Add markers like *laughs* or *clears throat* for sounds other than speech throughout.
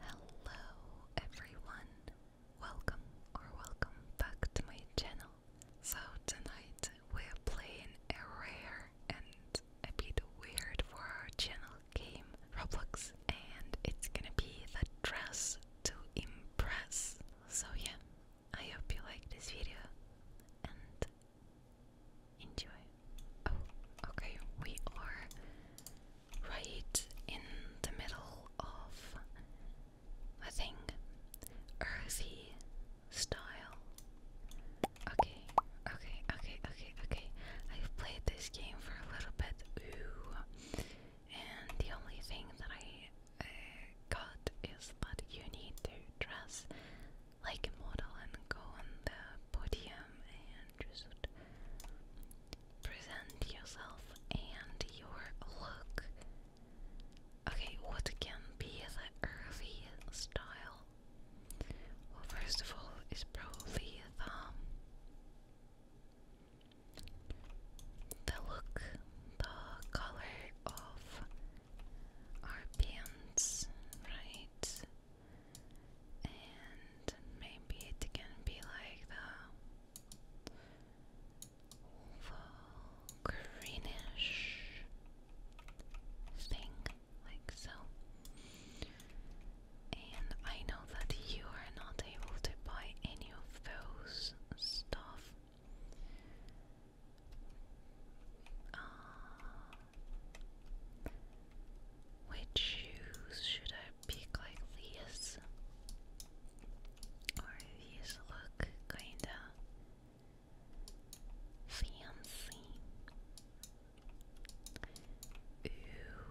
Hello everyone! Welcome or welcome back to my channel. So tonight we're playing a rare and a bit weird for our channel game Roblox and it's gonna be the dress to impress. So yeah, I hope you like this video and enjoy. Oh, okay, we are right in the middle of I think earthy style. Okay, okay, okay, okay, okay. I've played this game for a little bit, ooh, and the only thing that I uh, got is that you need to dress like a model and go on the podium and just present yourself and your look. Okay, what can be the early style? Well, first of all, is probably the look, the color of our pants, right? And maybe it can be like the greenish thing, like so. And I know that you are not able to buy any of those stuff. Uh, which shoes should I pick? Like these? Or these look kinda fancy. Ooh,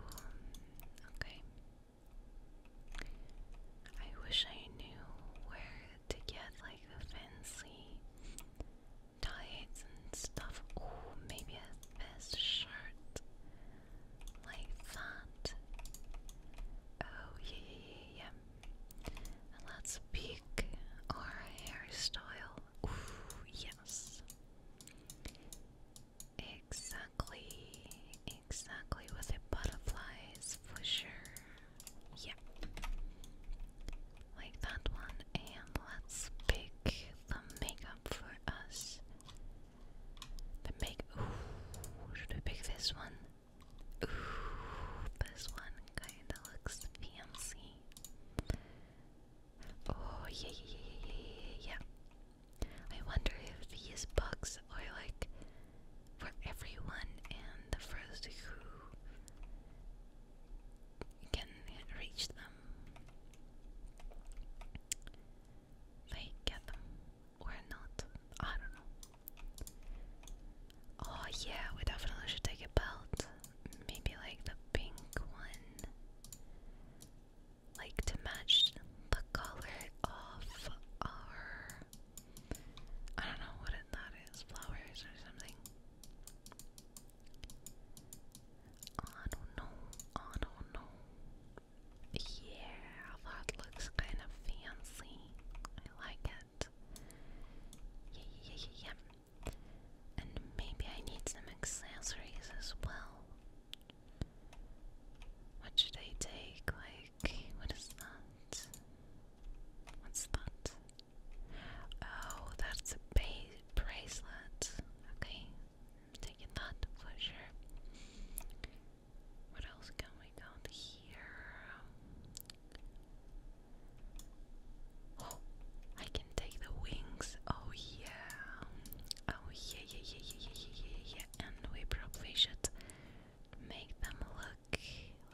okay. I wish I knew where to get like the fancy tights and stuff. Oh, maybe a best shirt like that. Oh, yeah, yeah, yeah, let's pick our hairstyle. Ooh, yes. Exactly, exactly with the butterflies for sure. Yeah. Like that one, and let's pick the makeup for us should we pick this one? this one kinda looks fancy. Oh, yeah, yeah, yeah, yeah. I wonder if these books are like for everyone and the first who can reach them they get them or not. I don't know. Oh yeah, we definitely should take a belt. Maybe like the pink one. Like to match the color of our I don't know what that is, flowers or something. I don't know, I don't know. Yeah, that looks kind of fancy. I like it. Yeah, yeah, yeah, And maybe I need some accessories as well. What should I take? Like, what is that? What's that? Oh, that's a ba bracelet. Okay, taking that for What else can we count here? I can take the wings. Oh yeah. Oh yeah, yeah, yeah, yeah, yeah, yeah, yeah. And we probably should make them look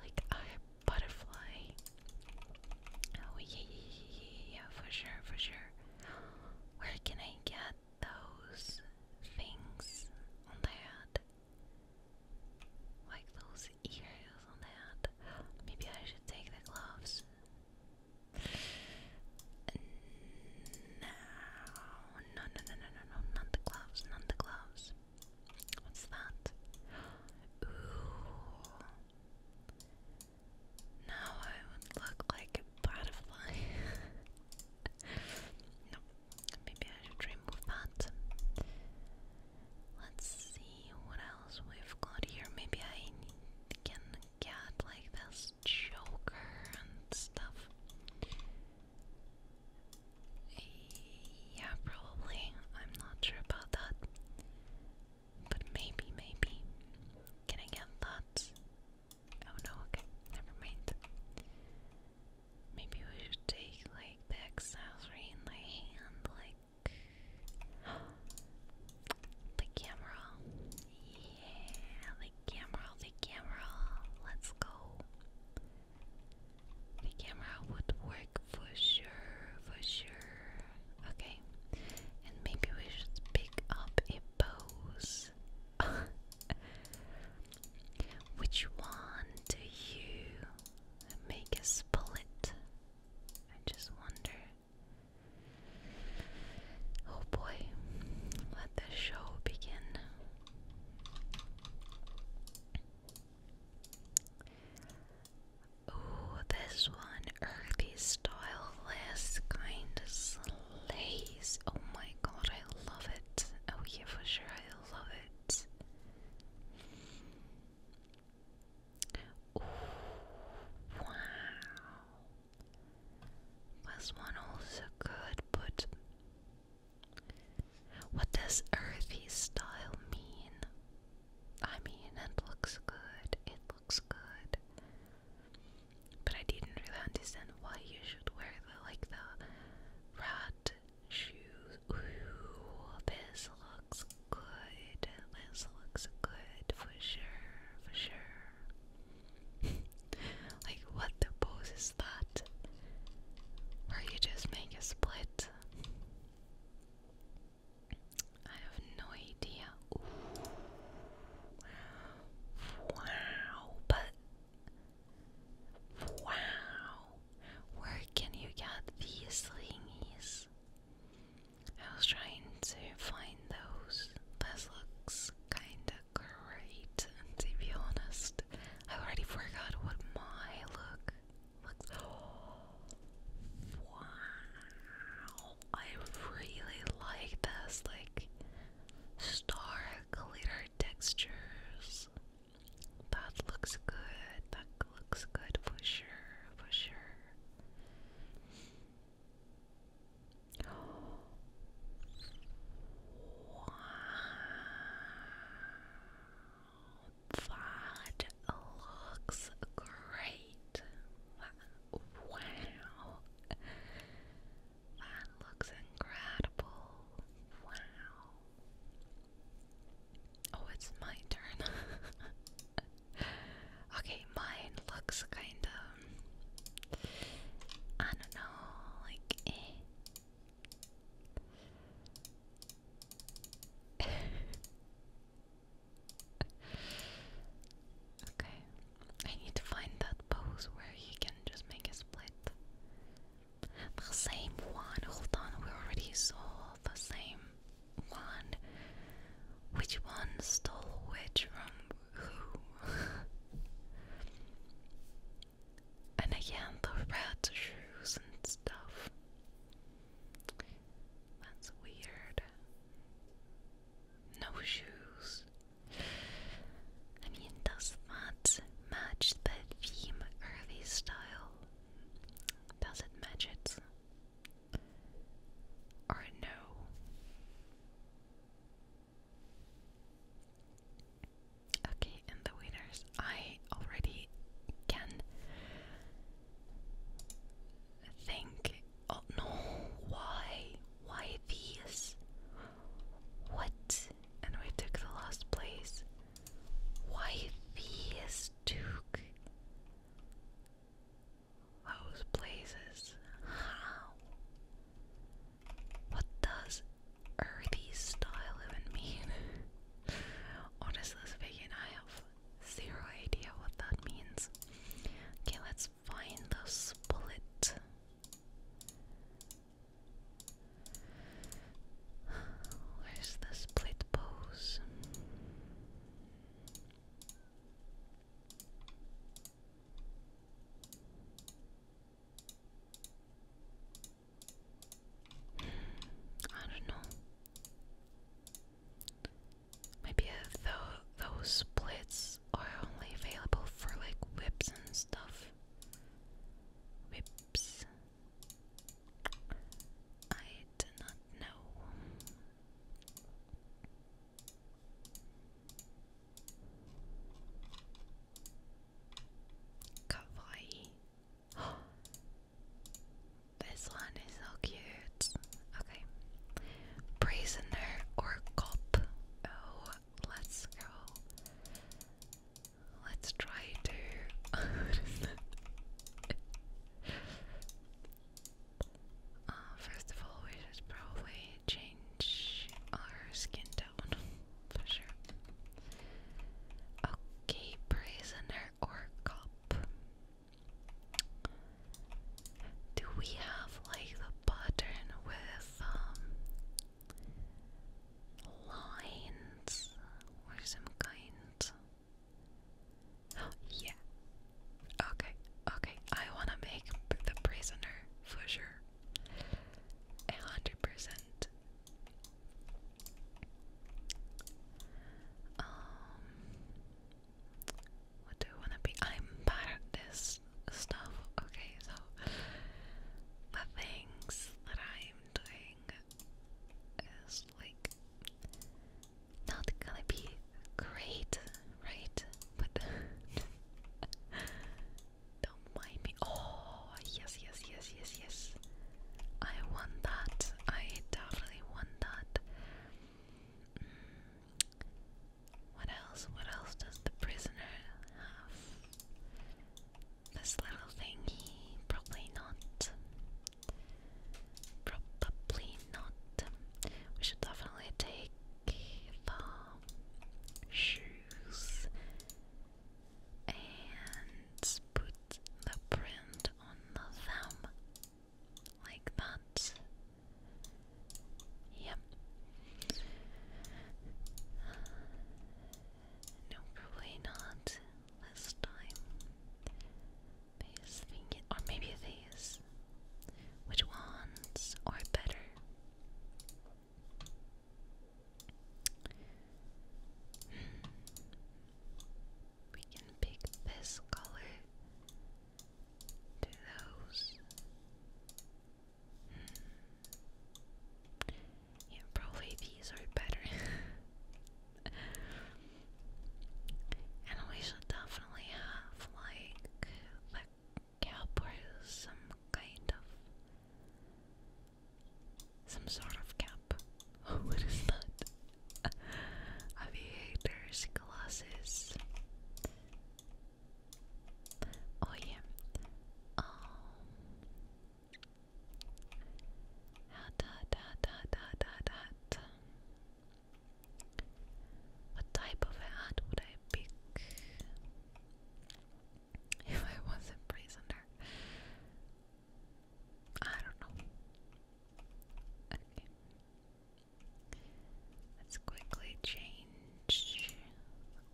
like a butterfly. Oh yeah, yeah, yeah, yeah, for sure, for sure. Where can I get those things on the head? Like those ears on the Maybe I should take the gloves. No, no, no, no, no, no, not the gloves, not the gloves. What's that? Ooh. Now I would look like a butterfly. *laughs* no, maybe I should remove that. Let's see what else we've got here. Maybe I can get like this joker and stuff. Yeah, probably. I'm not sure about that. But maybe, maybe. Can I get that? Oh no, okay, never mind. Maybe we should take like the accessory in the hand, like *gasps* the camera. Yeah, the camera, the camera. Let's go. The camera would work for sure, for sure. Okay, and maybe we should pick up a pose. *laughs* Which one do you make a split? I just wonder. Oh boy, let the show begin. Oh, this one, Earth hippie kind of slays. Oh my god, I love it. Oh, yeah, for sure, I love it. wow. Was one also good, but what does earthy style mean? I mean, it looks good. It looks good. But I didn't really understand why you should wear the like the red shoes. this looks good. This looks good for sure, for sure. *laughs* like what the pose is that? Or you just make a split? I have no idea. Wow, but wow, where can you get these thingies? I was trying to find those. This looks kinda great, to be honest. I already forgot what my look looks. Oh, *gasps* wow. I really like this, like star glitter textures. That looks good. That looks good for sure. For sure. Wow. That looks great. Wow. That looks incredible. Wow. Oh, it's my turn. *laughs* okay, mine looks kind of. I don't know, like. Eh. *laughs* okay, I need to find that pose where he can just make a split. The same one, hold on, we already saw the same one. Which one stole which from who? *laughs* and again, the red shoes and stuff. That's weird no shoes. I mean, does that match the theme early style? Does it match it? Or no? Okay, and the winners. I already can think Oh no, why? Why these? What? And we took the last place. Why these, Duke? Those places. How? What does earthy style even mean? Honestly speaking, I have zero idea what that means. Okay, let's find the bullet. Where's the split pose? I don't know. Maybe those splits are only available for like whips and stuff. Whips. I do not know. Kawaii. *gasps* this one is so cute. Okay. Prisoner or cop? Oh, let's go. Let's try to. *laughs* Uh, first of all, we should probably change our skin tone *laughs* for sure. Okay, prisoner or cop. Do we have like the pattern with um lines or some kind? *gasps* yeah. Okay, okay. I wanna make the prisoner for sure. A hundred percent. Um, what do I wanna be? I'm bad at this stuff. Okay, so the things that I'm doing is like not gonna be great, right? But *laughs* don't mind me. Oh, yes, yes, yes, yes, yes. I want that. I definitely want that. Mm. What else? What else does the prisoner have? This little thingy? Probably not. Probably not. We should definitely take the shoes and put the print on the like that. Yep. No, probably not this time. These thing or maybe these. Which ones are better? Hmm. We can pick this color to those. Hmm. Yeah, probably these are better. *laughs* and we should definitely have like the cap some kind of some sort of cap. *laughs* what is that? Aviators glasses. Oh yeah. hat hat hat hat hat hat What type of hat would I pick *laughs* if I was a prisoner? I don't know. Okay. Let's quickly change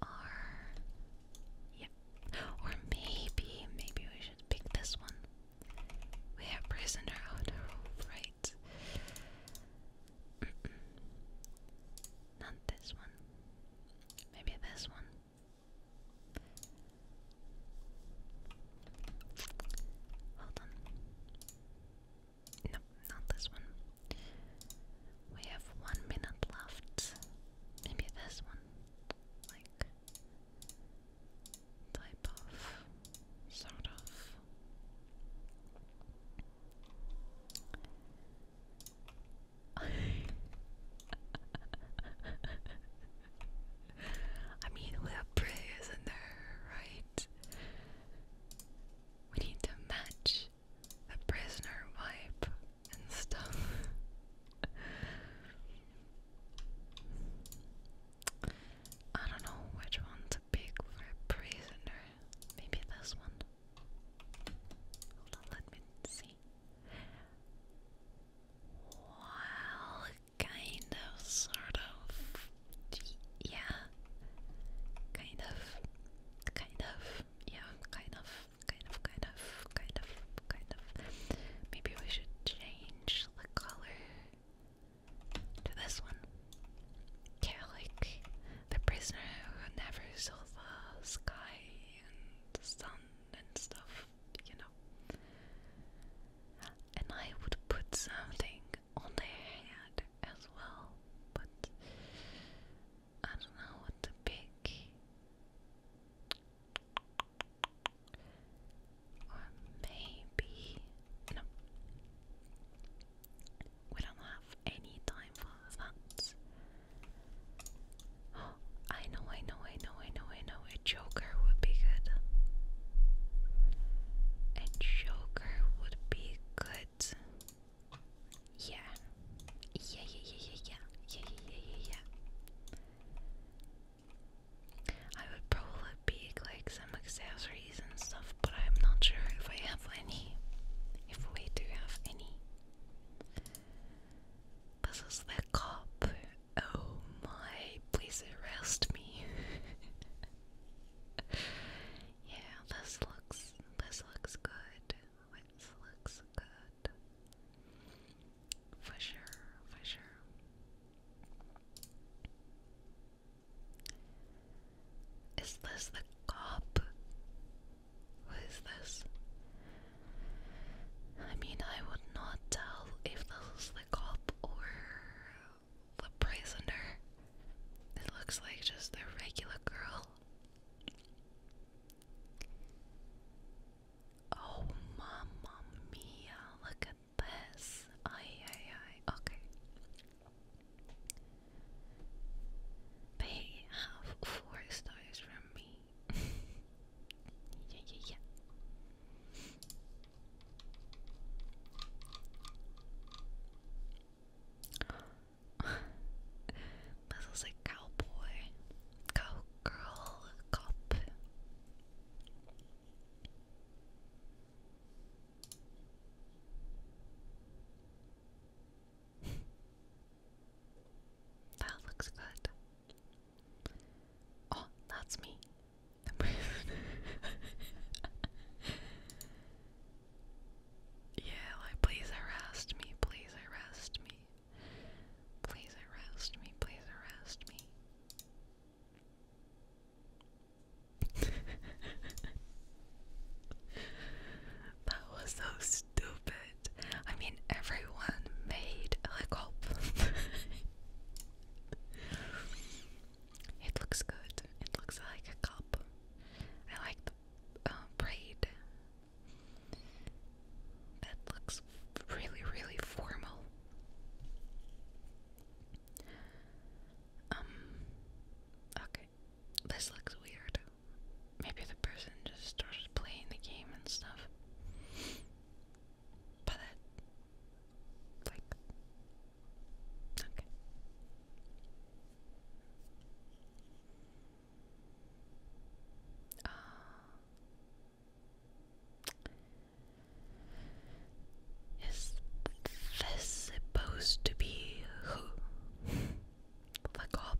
our. Yep. Or maybe, maybe we should pick this one. We have prisoner on right? *clears throat* Not this one. Maybe this one. Hold on. No, not this one. We have one minute left. Maybe this one. Like, type of, sort of. *laughs* I mean, we have prayers in there, right? We need to match the prisoner wipe and stuff. I don't know which one's big for a prisoner. Maybe this one. Hold on, let me see. Welcome Kind of, sort of. Yeah. Kind of. Kind of. Yeah, kind of. Kind of, kind of, kind of, kind of. Maybe we should change the color to this one. like the prisoner who never saw the sky and the sun and stuff, you know. And I would put something on the head as well, but I don't know what to pick. Or maybe no. We don't have any time for that. Oh, *gasps* I know, I know, I know, I know, I know. A joker would be good. A joker marker would be good. Yeah. Yeah, yeah, yeah, yeah, yeah. Yeah, yeah, yeah, yeah, yeah. I would probably pick like some accessories and stuff, but I'm not sure if I have any. If we do have any. This is the cop. Oh my, please arrest me. *laughs* yeah, this looks this looks good. This looks good. For sure, for sure. Is this the cop? Who is this? I mean, I would not tell if this is the cop or the prisoner. It looks like just a regular girl. Oh, mamma mia, look at this. Ay, ay, ay. Okay. They have four stars from me. *laughs* yeah, yeah, yeah. Muscles *sighs* a cowboy, cowgirl, cop. *laughs* that looks good. Oh, that's me. *laughs* yeah, like please arrest me, please arrest me. Please arrest me, please arrest me. *laughs* that was so stupid. I mean, everyone made a cop. *laughs* It looks good. It looks like a cup. I like the uh, braid. That looks really, really formal. Um. Okay. This looks weird. Maybe the person just playing the game and stuff. But like, okay. Uh, is this supposed to be who? the cop?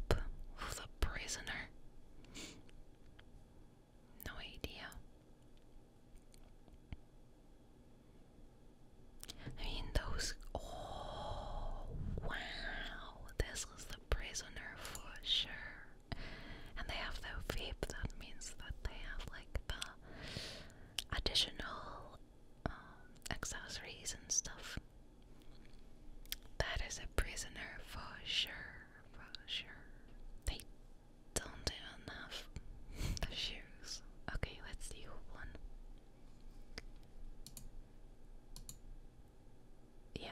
The prisoner? No idea. I mean, those. Oh, wow! This is the prisoner for sure. And they have their vape, that means that they have like the additional um, accessories and stuff. That is a prisoner for sure, for sure. They don't even have *laughs* shoes. Okay, let's do one. Yeah,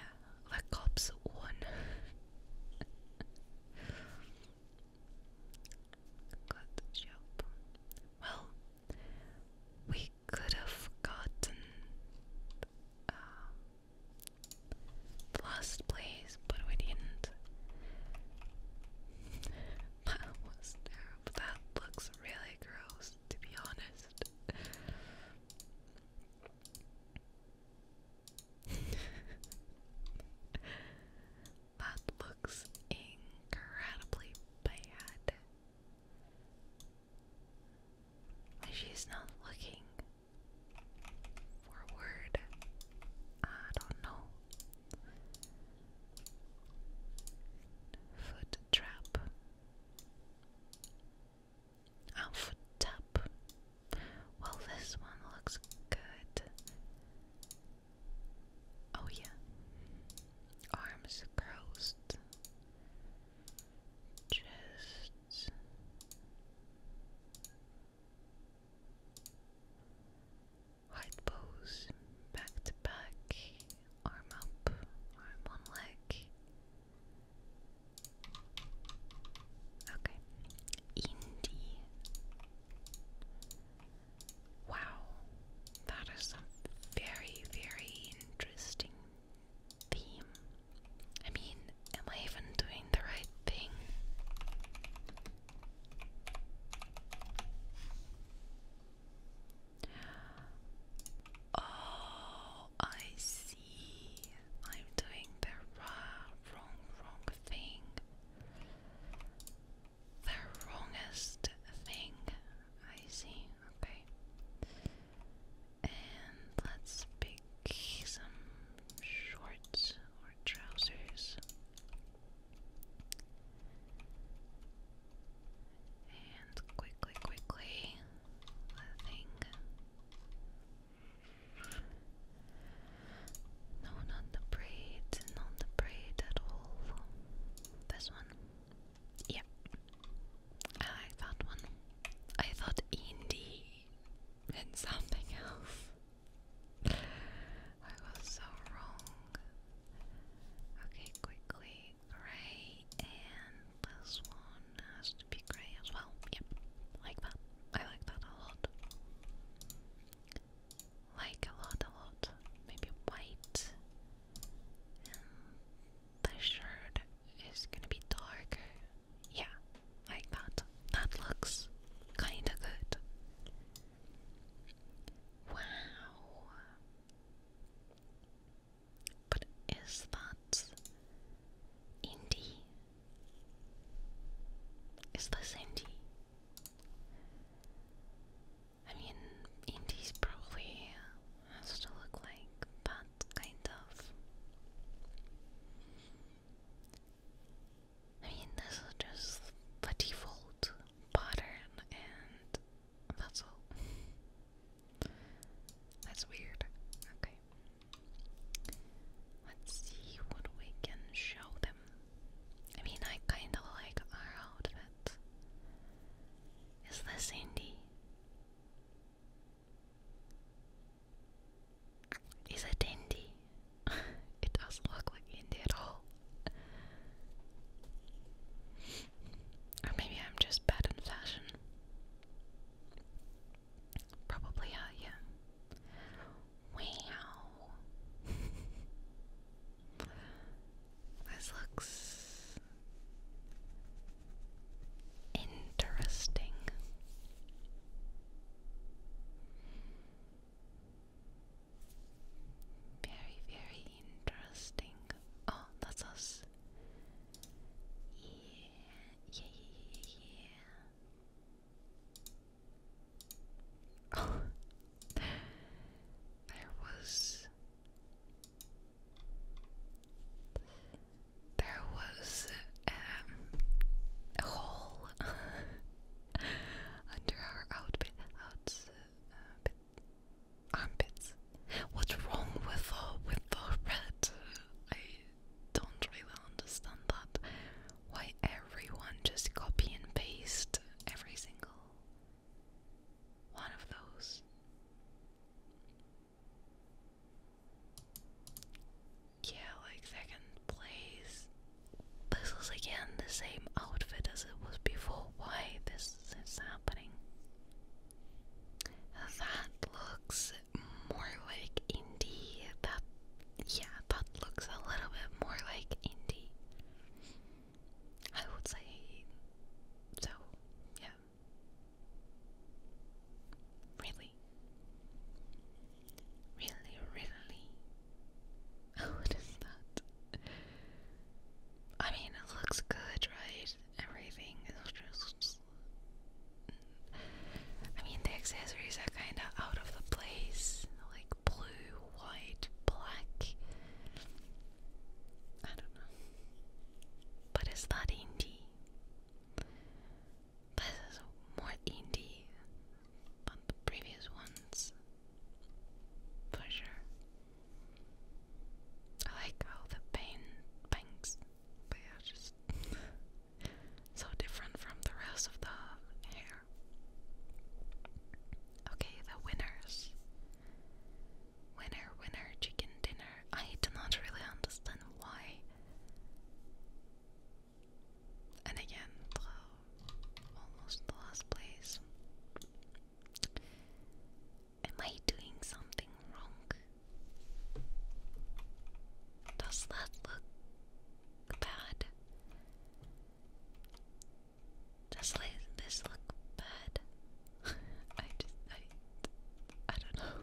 the cops won. *laughs* Good job. Well, we could have gotten uh, last place but we didn't. *laughs* That looks really gross, to be honest. *laughs* that looks incredibly bad. She's not looking forward. I don't know. Foot trap. Oh, foot tap. Well, this one looks good. Oh, yeah. Arms crossed. Just Hard pose, back to back, arm up, arm on leg. Okay. Indie. Wow. That is a very, very interesting theme. I mean, am I even doing the right thing? Oh, I see. I'm doing the wrong, wrong thing. The wrongest thing. I see. Okay. And let's pick some shorts or trousers. And quickly, quickly, I think. No, not the braid, not the braid at all. This one. Yeah. I like that one. I thought indie meant something *laughs* else. I was so wrong. Okay, quickly, grey, and this one has to be grey as well. Yep, like that. I like that a lot. Like a lot, a lot. Maybe white. the shirt is gonna be dark. Yeah, like that. That looks kinda good. Wow. But is that indie? Is this indie? I mean, indie's probably has to look like that kind of. I mean, this is just the default pattern, and that's all. That's weird. Okay. Let's see what we can show them. I mean, I kind of like our outfit. Is this Indy? Is it Indy? *laughs* it doesn't look like India at all. Or maybe I'm just bad in fashion. Probably, uh, yeah. Wow. *laughs* this looks interesting. Very, very interesting. Oh, that's us. Yeah, yeah, yeah, yeah, *laughs* Oh, there was. There was um, a hole *laughs* under her outfit, outs, uh, armpits. What's wrong with the with the red? I don't really understand that. Why everyone just copy and paste every single one of those? yeah, like second place. This is again the same outfit as it was before. Why this is happening? That looks more like indie. That yeah, that looks a little bit more like indie. I would say so, yeah. Really? Really, really. *laughs* what is that? I mean, it looks good, right? Everything is just. I mean, the accessories are kind of out of the place like blue, white, black. I don't know. But is that indie? This is more indie than the previous ones, for sure. I like how the pain banks, are just so different from the rest of the hair. Okay, the winners. Winner, winner, chicken dinner. I do not really understand why and again, almost the last place. Am I doing something wrong? Does that look bad? Does this look bad? *laughs* I just, I, I don't know.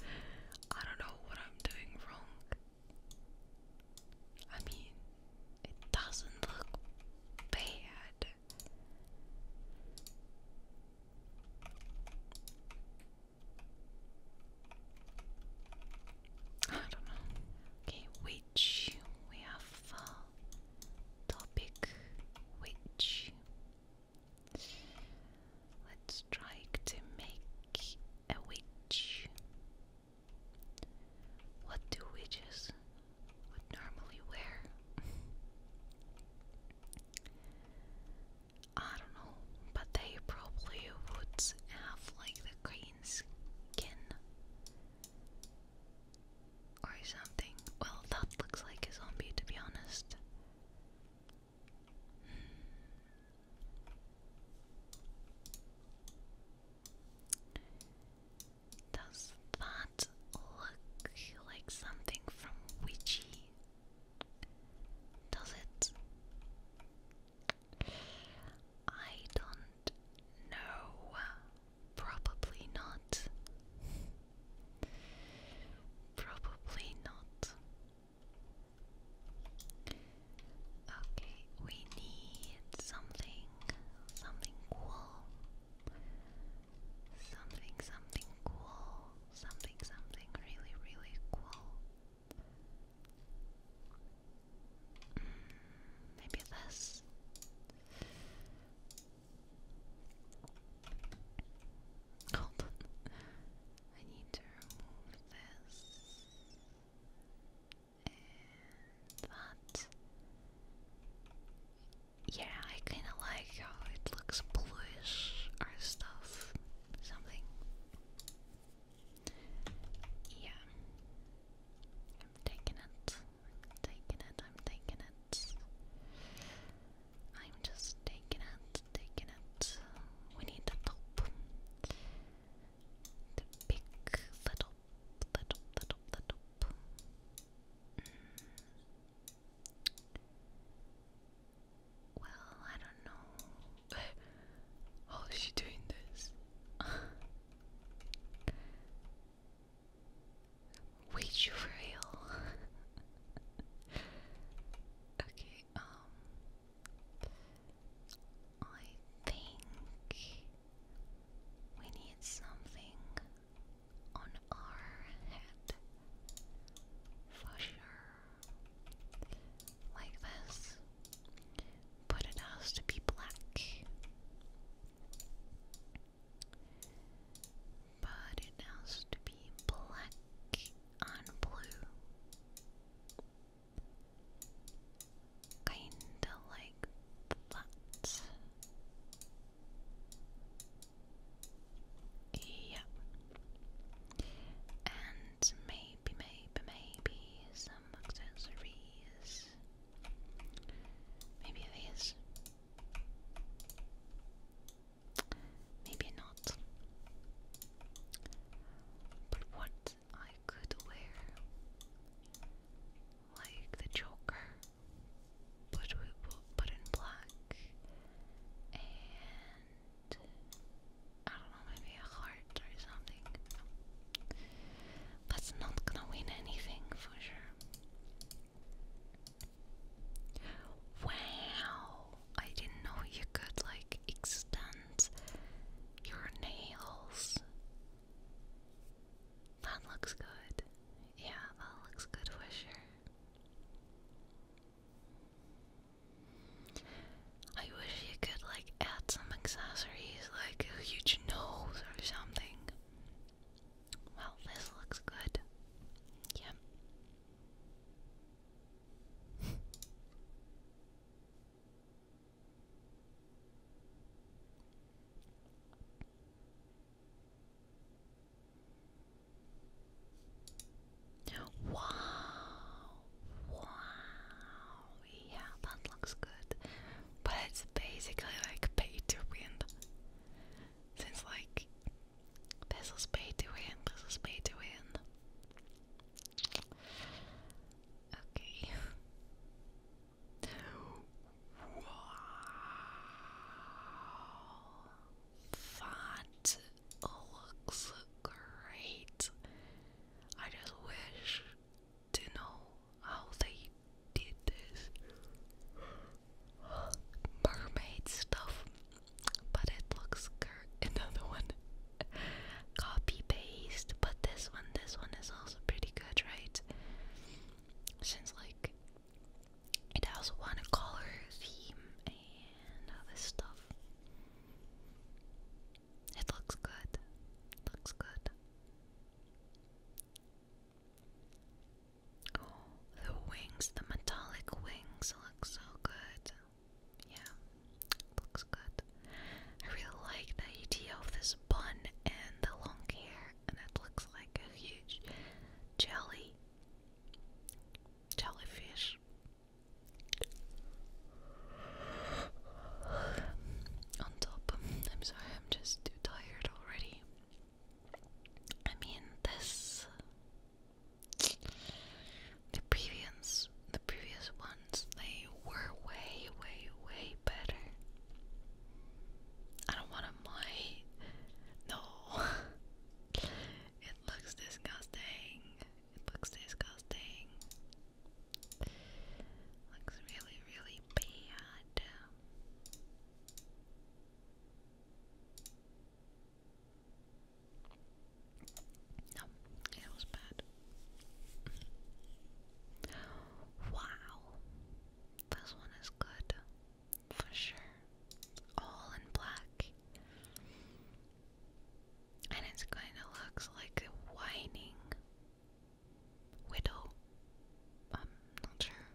*laughs* I don't know what I'm doing wrong. I mean, it doesn't look bad. I don't know. Okay, which we have uh, topic which let's try to make a witch. What do witches would normally wear? I don't know, but they probably would have like the green skin or something. Well, that looks like a zombie to be honest. Hmm. Does that look like something from Witchy? Does it? I don't know. Probably not. Probably not. Okay, we need something, something cool. Something, something cool. Something, something really, really cool. Mm, maybe this. Hold on. I need to remove this that. Yeah, I kind of like how it looks bluish or stuff, something. Yeah. I'm taking it. taking it. I'm taking it. I'm just taking it. Taking it. We need the top. The big little, little, little, little. Mm. Well, I don't know. *laughs* How is she doing this? *laughs* Wait, you for real? *laughs* okay, um, I think we need something on our head for sure, like this, but it has to be black. But it has to be black and blue. Kinda like that. Yep. And maybe, maybe, maybe some accessories. Maybe these. Maybe not. But what I could wear like the Joker, but in black and I don't know, maybe a heart or something. That's not gonna win anything for sure. Wow! I didn't know you could like extend your nails. That looks good. Yeah, that looks good for sure. I wish you could like add some accessories like a huge nose or something. Well, this looks good. Yep. *laughs* Wow, wow, yeah, that looks good. But it's basically like pay to win. Since like this is pay to win, this is pay to win. Okay. Wow. That looks great. I just wish to know how they did this mermaid stuff, but it looks great another one. Copy paste, but this one, this one is also pretty good, right? Since like it has one color theme and all this stuff. It looks good. It looks good. Oh, the wings, the metallic wings look so good yeah, looks good. I really like the idea of this bun and the long hair, and it looks like a huge jelly, jellyfish. On top, I'm sorry, I'm just too tired already. I mean, this the previous the previous ones they were way way way better. I don't want to my no *laughs* It looks disgusting. It looks disgusting. Looks really, really bad. No, it was bad. Wow, this one is good for sure. All in black, and it's kind of looks like a whining widow. I'm not sure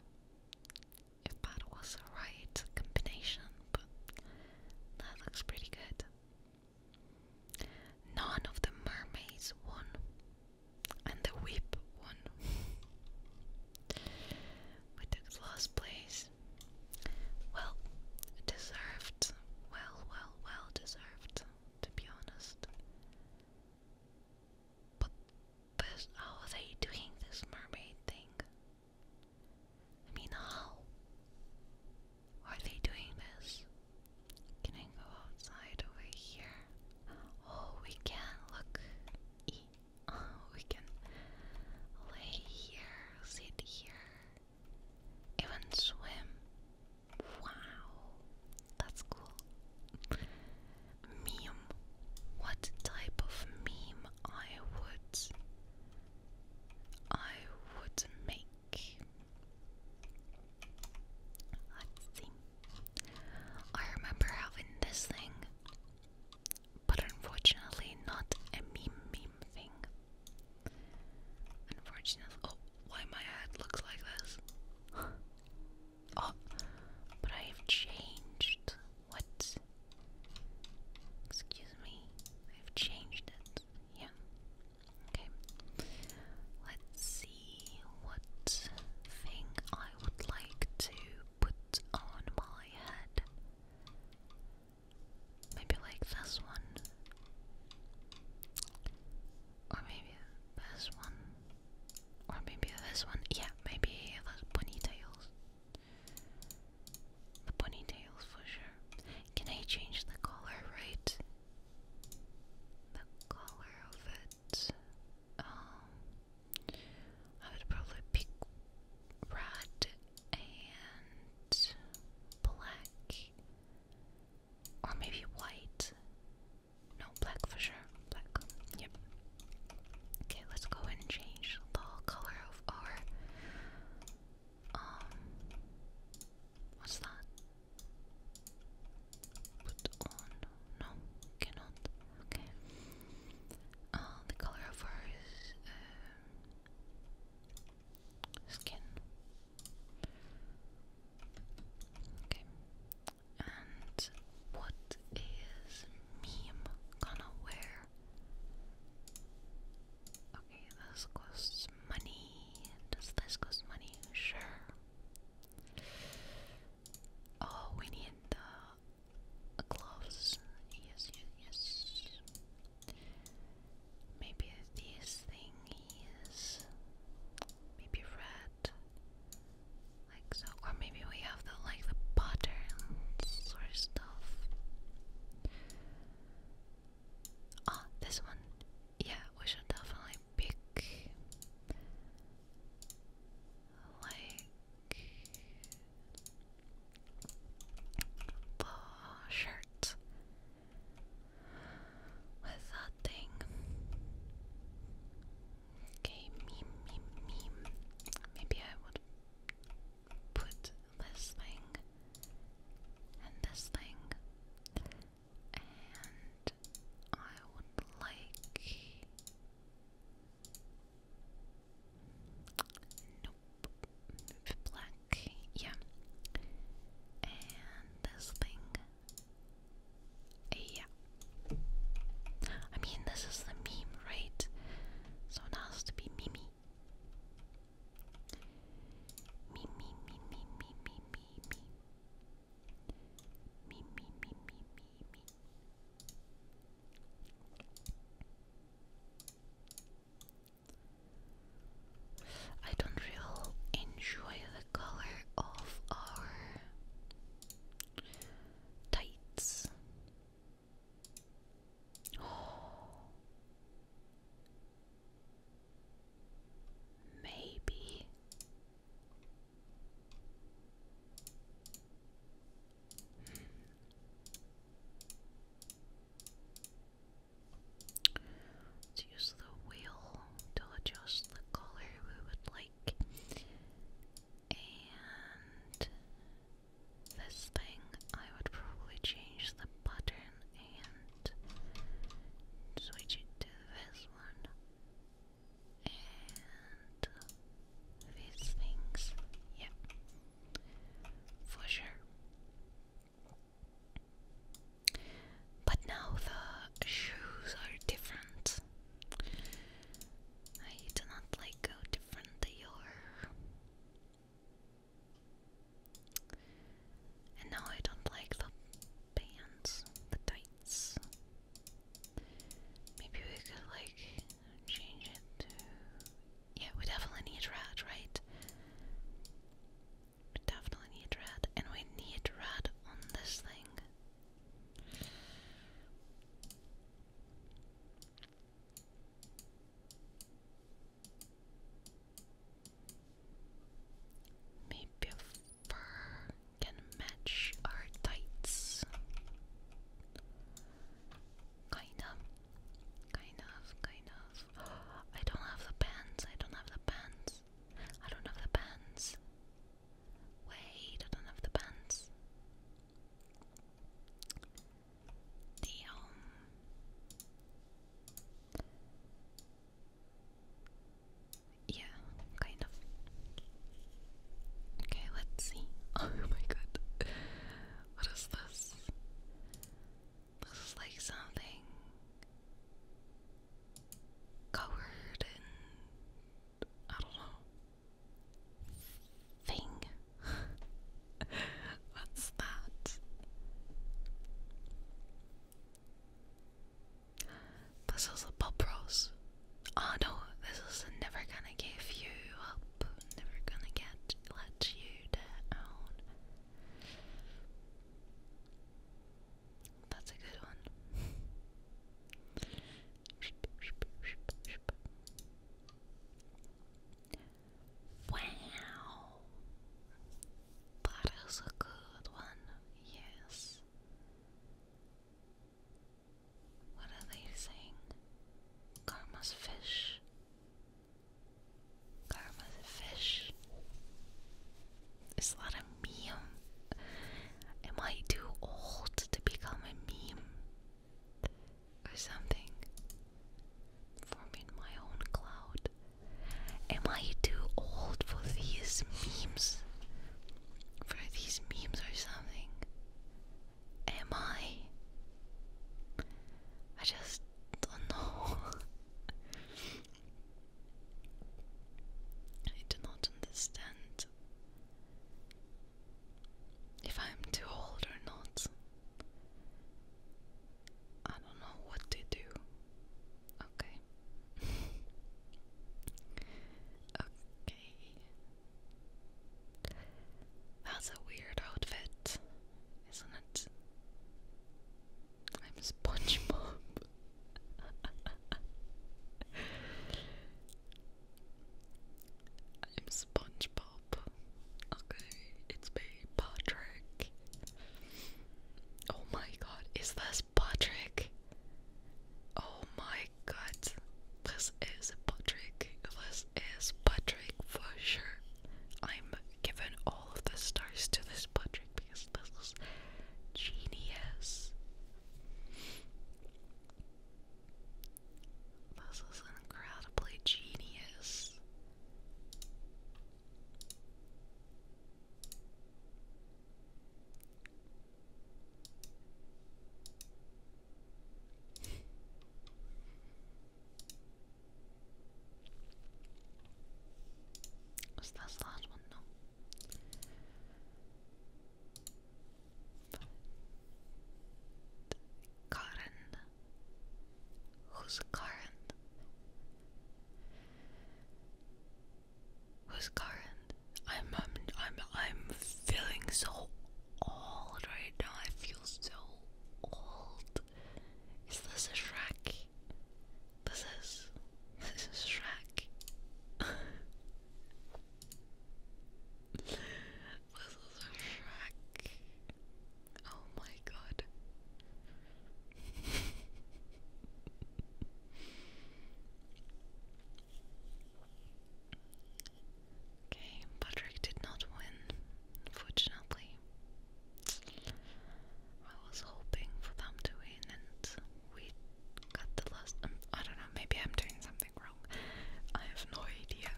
if that was the right combination, but that looks pretty good. None of the mermaids won, and the whip won. *laughs* we took last place. Well deserved. Well, well, well deserved, to be honest. But how are they doing this mermaid thing? I mean, how are they doing this? Can I go outside over here? Oh, we can look. E oh, we can lay here, sit here, even swim. Wow, that's cool. Meme. What type of meme I would I would make? Let's I remember having this thing, but unfortunately, not a meme meme thing. Unfortunately, oh, why my head looks like this? *laughs* oh, but I've changed. What? Excuse me, I've changed it. Yeah. Okay. Let's see what thing I would like to put on my head. Maybe like this one. Or maybe this one. Or maybe this one. Yeah, maybe those ponytails. The ponytails for sure. Can I change the color, right? The color of it. Um, I would probably pick red and black, or maybe white. No, black for sure. Black. Yep. Okay, let's go and change the color of our um, what's that? Put on? No, cannot. Okay. Uh, the color of her um, skin. Okay. And what is meme gonna wear? Okay, this costs money. Does this cost money? Sure. Oh, we need the gloves. Yes, yes, yes. Maybe this thing maybe red, like so, or maybe we have the like the patterns or stuff. Oh, this one. Yeah, we should definitely pick like the shirt with that thing. Okay, meme, meme, meme. Maybe I would put this thing and this thing, and I would like. Nope. Black. Yeah. And this thing. Yeah. I mean, this is the meme, right? So it to be Mimi. Me, me, me, me, me, me, me, me. Me, me, me, me, me, me. I don't really enjoy the color of our tights. *gasps* Oh. Maybe. Let's hmm. use the wheel to adjust the color we would like. And this thing, I would probably change the button and switch it to this one. And these things, yep, for sure. But now the shoes are different. I do not like how different they and now I don't like the pants, the tights. Maybe we could like change it to. Yeah, we definitely need red, right? We definitely need red, and we need red on this thing. Maybe a fur can match our tights. Kind of, kind of, kind of. *gasps* I don't have the pants. I don't have the pants. I don't have the pants. Wait, I don't have the pants. Damn. Yeah, kind of. Okay, let's see. *laughs* Oh my god. What is this? This is like something covered in I don't know. Thing. *laughs* What's that? This is a pop rose. Oh no, this is never gonna give you up. Never gonna get let you down. That's a good one. *laughs* Wow! That is a good one, yes. What are they saying? Karma's fish. Karma's fish. Is that a meme? Am I too old to become a meme? or something. Forming my own cloud. Am I too old for these memes? For these memes or something? Am I? I just don't know. *laughs* I do not understand if I'm too old or not. I don't know what to do. Okay. *laughs* okay. That's a weird outfit, isn't it? I'm SpongeBob. *laughs* I'm SpongeBob. Bob. Okay, it's me, Patrick. Oh my god, is this Patrick? Oh my god, this is Patrick. This is Patrick for sure. I'm giving all of the stars to this Patrick because this is genius. This is incredibly genius. Was that the last one? No. But who's current? Who's current? I'm I'm I'm feeling so old right now. I feel so old. Is this a Shrek? This is this is Shrek. *laughs* This is a Shrek. Oh my god. okay, Patrick did not win, unfortunately. I was hoping for them to win, and we got the last. Um, I don't know, maybe I'm doing something wrong. I have no idea.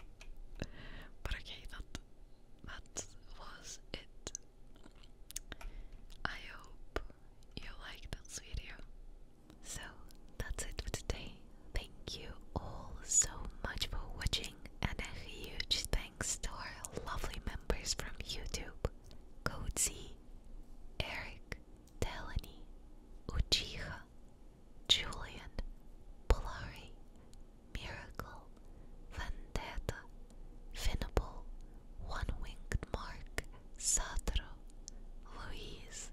But okay, that that was it. I hope you liked this video. So that's it for today. Thank you all so much for watching, and a huge thanks to our lovely members from YouTube Cozy, Eric, Delany, Uchiha, Julian, Polari, Miracle, Vendetta, Finable, One Winged Mark, Satro, Louise,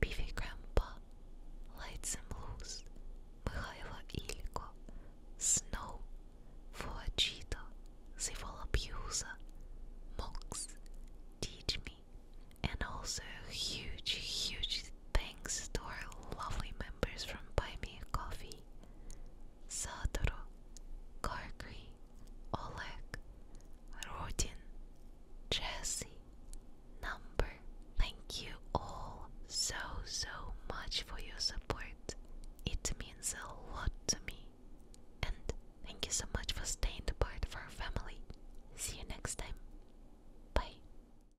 Beefy Grandpa, Lights and Blues, Mikhailo Ilko, Snow, For a Fuachito, Zivola Piusa, Mox, Teach Me, and also huge, huge Thanks to our lovely members from Buy Me a Coffee, Satoru, Kargri, Oleg, Rodin, Jesse, Number. Thank you all so so much for your support. It means a lot to me. And thank you so much for staying a part of our family. See you next time. Bye.